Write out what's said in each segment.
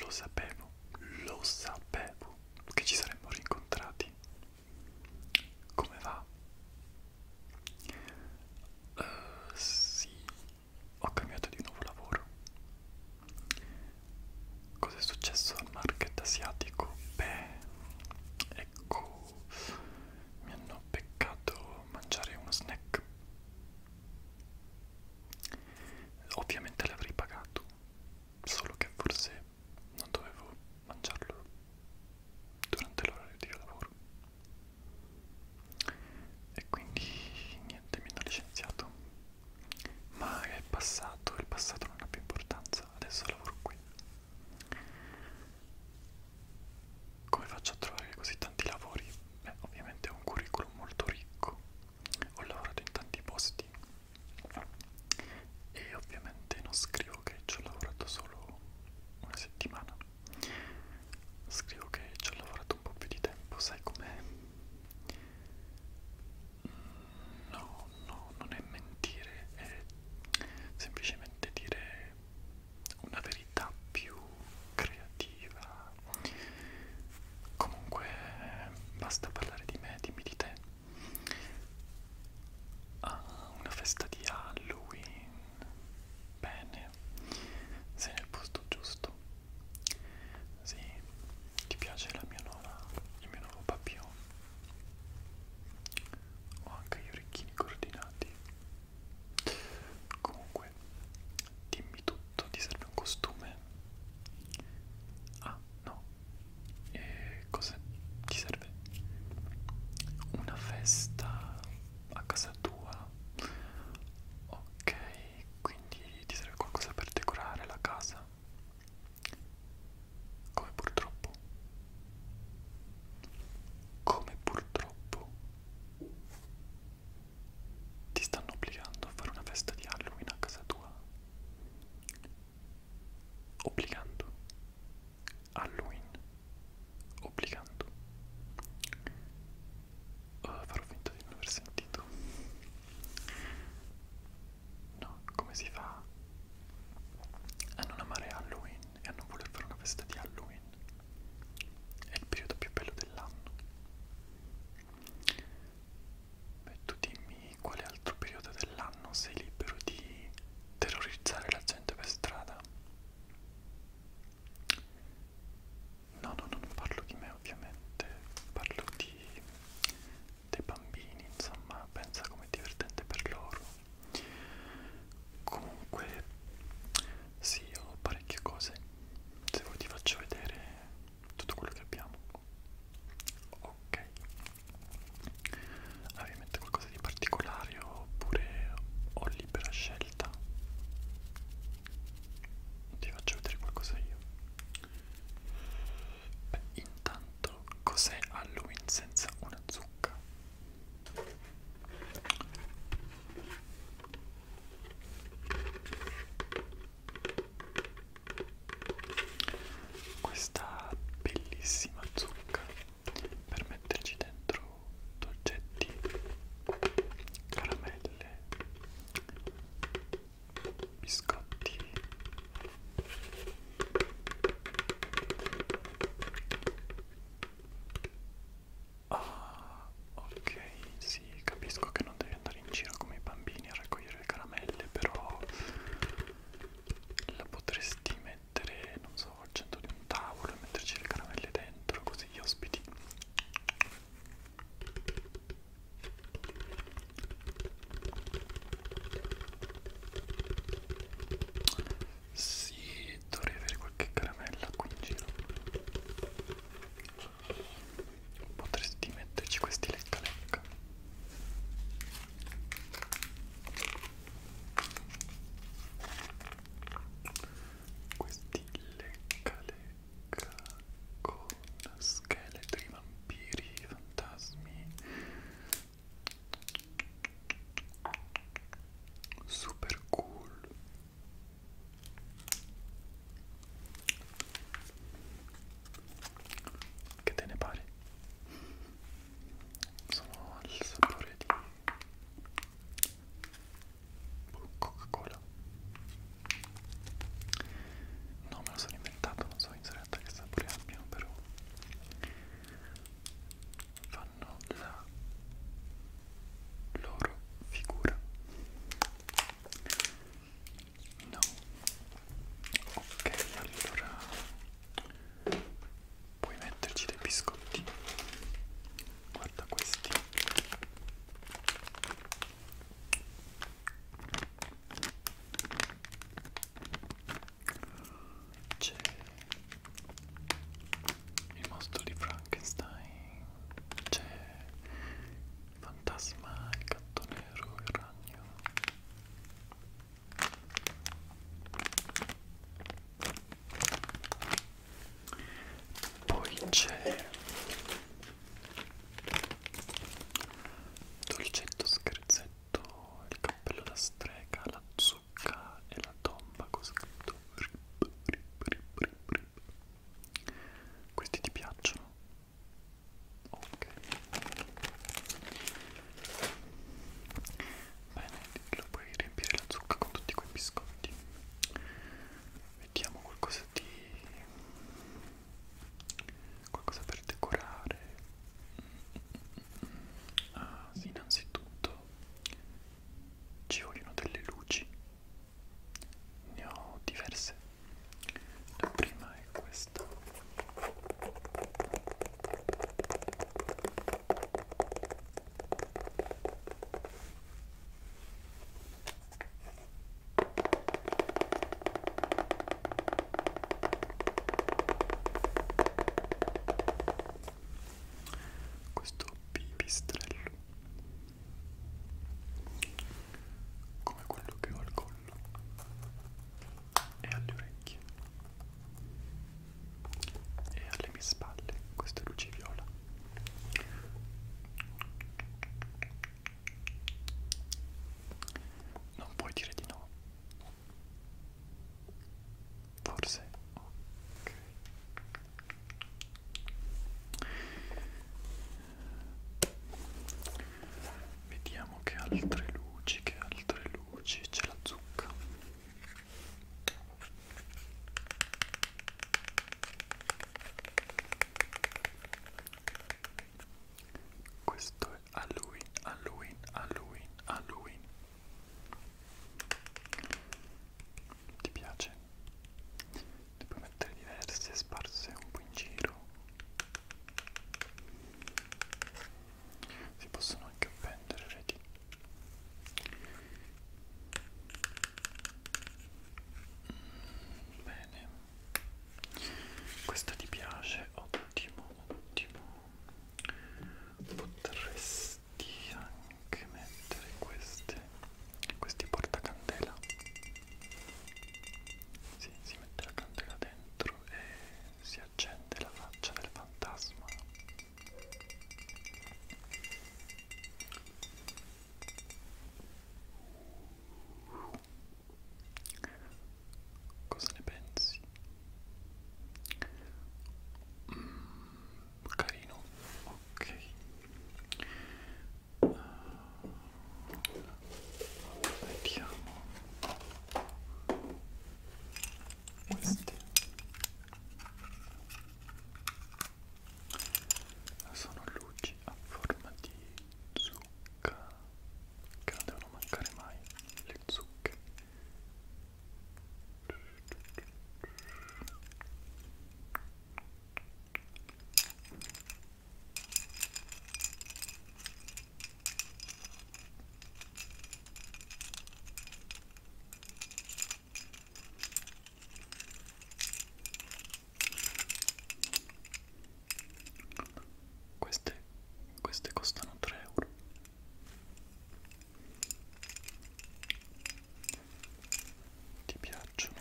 Lo sapevo, lo sapevo che ci saremmo rincontrati. Come va? Uh, sì, ho cambiato di nuovo lavoro. Cos'è successo al market asiatico? Beh, ecco, mi hanno beccato mangiare uno snack Ovviamente l'avrei pagato, solo che forse non dovevo mangiarlo durante l'orario di lavoro. E quindi niente, mi hanno licenziato. Ma è passato, il passato non ha più importanza, adesso lavoro qui come faccio a trovare così tanti lavori? Beh, ovviamente ho un curriculum molto ricco, ho lavorato in tanti posti e ovviamente non scrivo che ci ho lavorato solo una settimana, scrivo che ci ho lavorato un po' più di tempo, sai com'è? No, no, non è mentire, è semplicemente dire una verità più creativa comunque basta parlare di me dimmi di te ah, una festa di Halloween bene sei nel posto giusto sì ti piace la mia nuova il mio nuovo papillon ho anche gli orecchini coordinati Comunque, dimmi tutto, ti serve un costume? Ah, no. E cosa ti serve? Una festa a casa tua? Ok, quindi ti serve qualcosa per decorare la casa? Come purtroppo? Come purtroppo? Ti stanno obbligando a fare una festa di Halloween a casa tua. Obbligando. Halloween. Obbligando. Uh, farò finta di non aver sentito. No, come si fa a non amare Halloween? e a non voler fare una festa di Halloween. È il periodo più bello dell'anno. Beh, tu dimmi quale altro periodo dell'anno sei libero di terrorizzare la gente per strada. No, no, no, non parlo di me ovviamente, parlo di dei bambini, insomma, pensa com'è divertente per loro comunque sì ho parecchie cose se vuoi ti faccio vedere tutto quello che abbiamo ok avevi in mente qualcosa di particolare oppure ho libera scelta ti faccio vedere qualcosa io Beh, intanto cos'è Halloween senza una zucca questa bellissima zucca per metterci dentro dolcetti, caramelle, biscotti Ah, ok, sì, capisco che non devi andare in giro come i bambini a raccogliere le caramelle, però la potresti mettere, non so, al centro di un tavolo e metterci le caramelle dentro, così gli ospiti sì, dovrei avere qualche caramella qui in giro. Potresti metterci questi lecca lecca. Questi lecca lecca con scheletri, vampiri, fantasmi, super cool che te ne pare sono al sapore di coca cola no me lo sono inventato non so in realtà che sapore abbiano però fanno la loro figura no ok allora puoi metterci dei biscotti guarda questi c'è il mostro di Frankenstein, c'è il fantasma, il gatto nero, il ragno. Poi c'è dolcetto scherzetto, il cappello da strega, la zocca e la tomba con scritto rip, rip, rip, rip, rip. Questi ti piacciono? Ok. Bene, lo puoi riempire la zucca con tutti quei biscotti. Mettiamo qualcosa di... qualcosa per decorare uh, innanzitutto ci vogliono delle luci ne ho diverse la prima è questa questo pipistrello come quello che ho al collo e alle orecchie e alle mie spalle queste luci viola non puoi dire di no Forse ok. Vediamo che altre luci, che altre luci, c'è la zucca. Questo è Halloween, Halloween, Halloween, Halloween. Ti piace? Ne puoi mettere diverse sparse un po' in giro. Si possono anche appendere, vedi? Mm, bene. Questa ti piace? Ottimo ottimo potresti anche mettere queste questi portacandela si, si mette la candela dentro e si accende la faccia del fantasma Uh, Cosa ne pensi? Mm, carino, ok. Uh, ah, vediamo queste sono luci a forma di zucchero zucca che non devono mancare mai le zucche queste, queste costano 3 euro. Ti piacciono?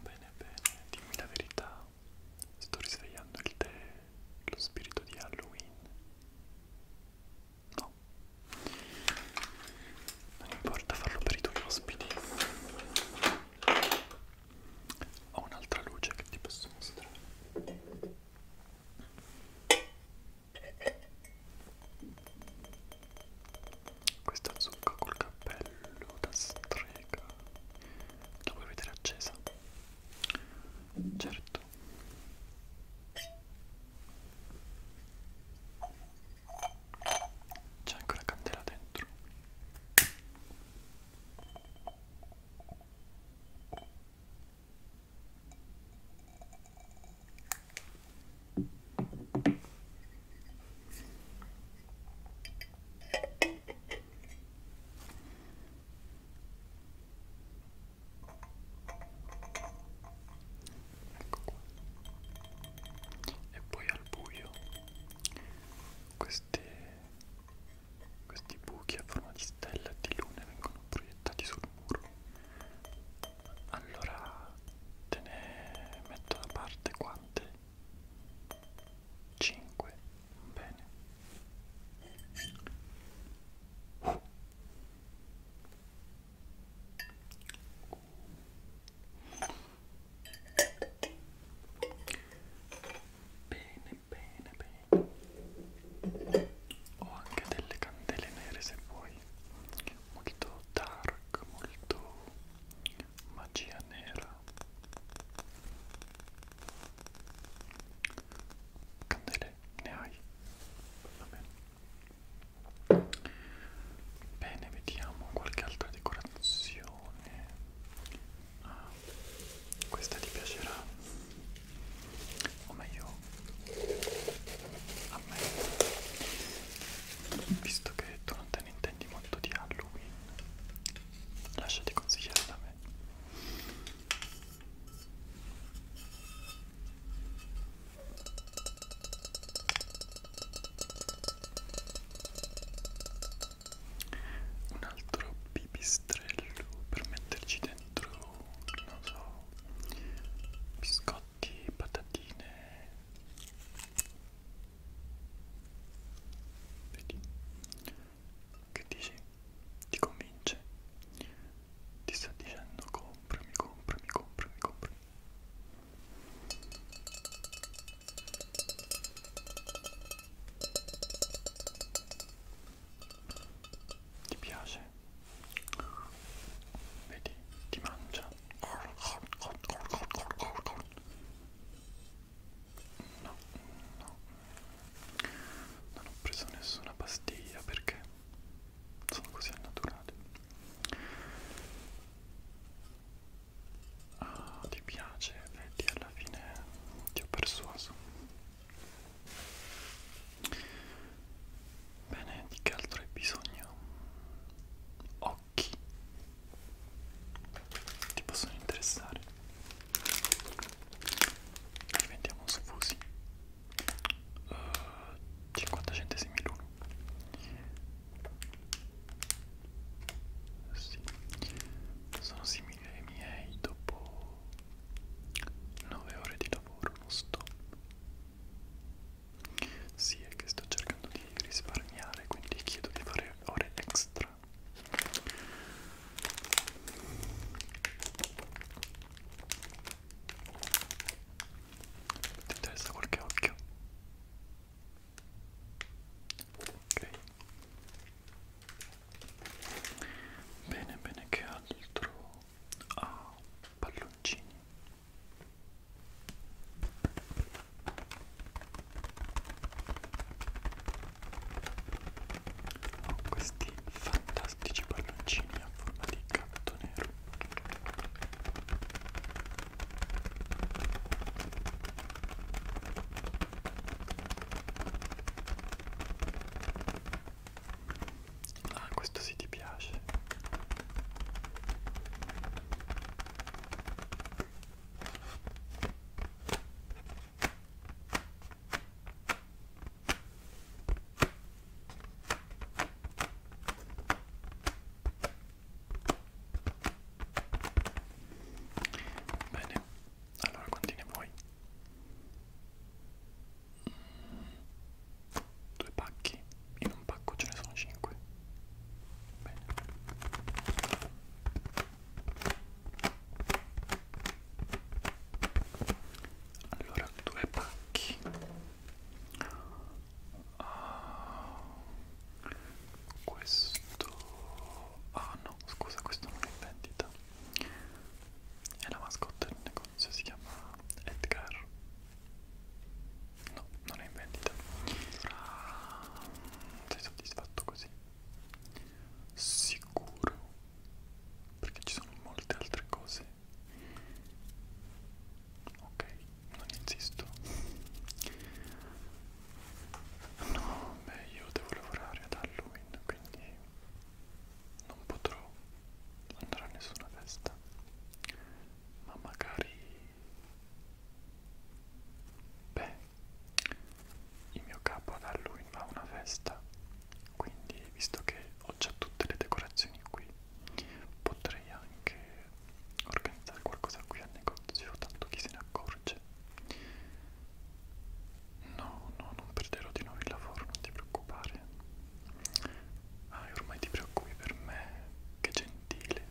Bene, bene, dimmi la verità. Sto risvegliando il tè, lo spirito di Halloween. No. Non importa farlo per i tuoi ospiti ho un'altra luce che ti posso mostrare questa zucca col cappello da strega la vuoi vedere accesa? certo c'è anche una candela dentro e poi al buio questi, questi buchi a forma di stella e di lune vengono proiettati sul muro allora te ne metto da parte quante? 5 bene uh. Bene, bene, bene. Ho anche delle candele nere se vuoi. Molto dark, molto magia nera. Candele ne hai? Va bene. Bene, vediamo qualche altra decorazione arancione ah, questa ti piacerà o meglio a me visto che tu non te ne intendi molto di Halloween lasciati consigliare da me un altro pipistrello per metterci dentro non so biscotti patatine vedi che dici ti convince ti sta dicendo comprami comprami comprami comprami ti piace? Vedi, ti mangia. No, no. Non ho preso nessuna pastiglia perché sono così al naturale. Ah, ti piace, vedi alla fine ti ho persuaso. Bene, di che altro hai bisogno? Occhi. Ti possono interessare. Diventiamo sfusi. Uh, eh, 50 centesimi l'uno. Sì. Sono simili ai miei dopo 9 ore di lavoro non stop. Sì, è che sto cercando di risparmiare, quindi chiedo di fare ore extra ti interessa qualche occhio ok bene bene che altro ah palloncini ho oh, questi fantastici palloncini a forma di gatto nero Ah, questo sì ti piace. Bene, allora quanti ne vuoi? Due pacchi? In un pacco ce ne sono cinque. Bene. Allora, due pacchi. Uh, questo... Ah no, scusa, questo non è in vendita. È la mascotte del negozio, si chiama Edgar. No, non è in vendita. Ah, sei soddisfatto così? Sicuro? Perché ci sono molte altre cose ok non insisto no beh io devo lavorare ad Halloween quindi non potrò andare a nessuna festa ma magari beh il mio capo ad Halloween va a una festa quindi visto che ho già tutte le decorazioni qui potrei anche organizzare qualcosa qui al negozio tanto chi se ne accorge no no non perderò di nuovo il lavoro non ti preoccupare ah e ormai ti preoccupi per me che gentile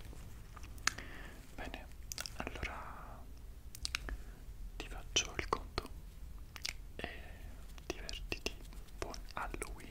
bene allora ti faccio il conto e divertiti buon Halloween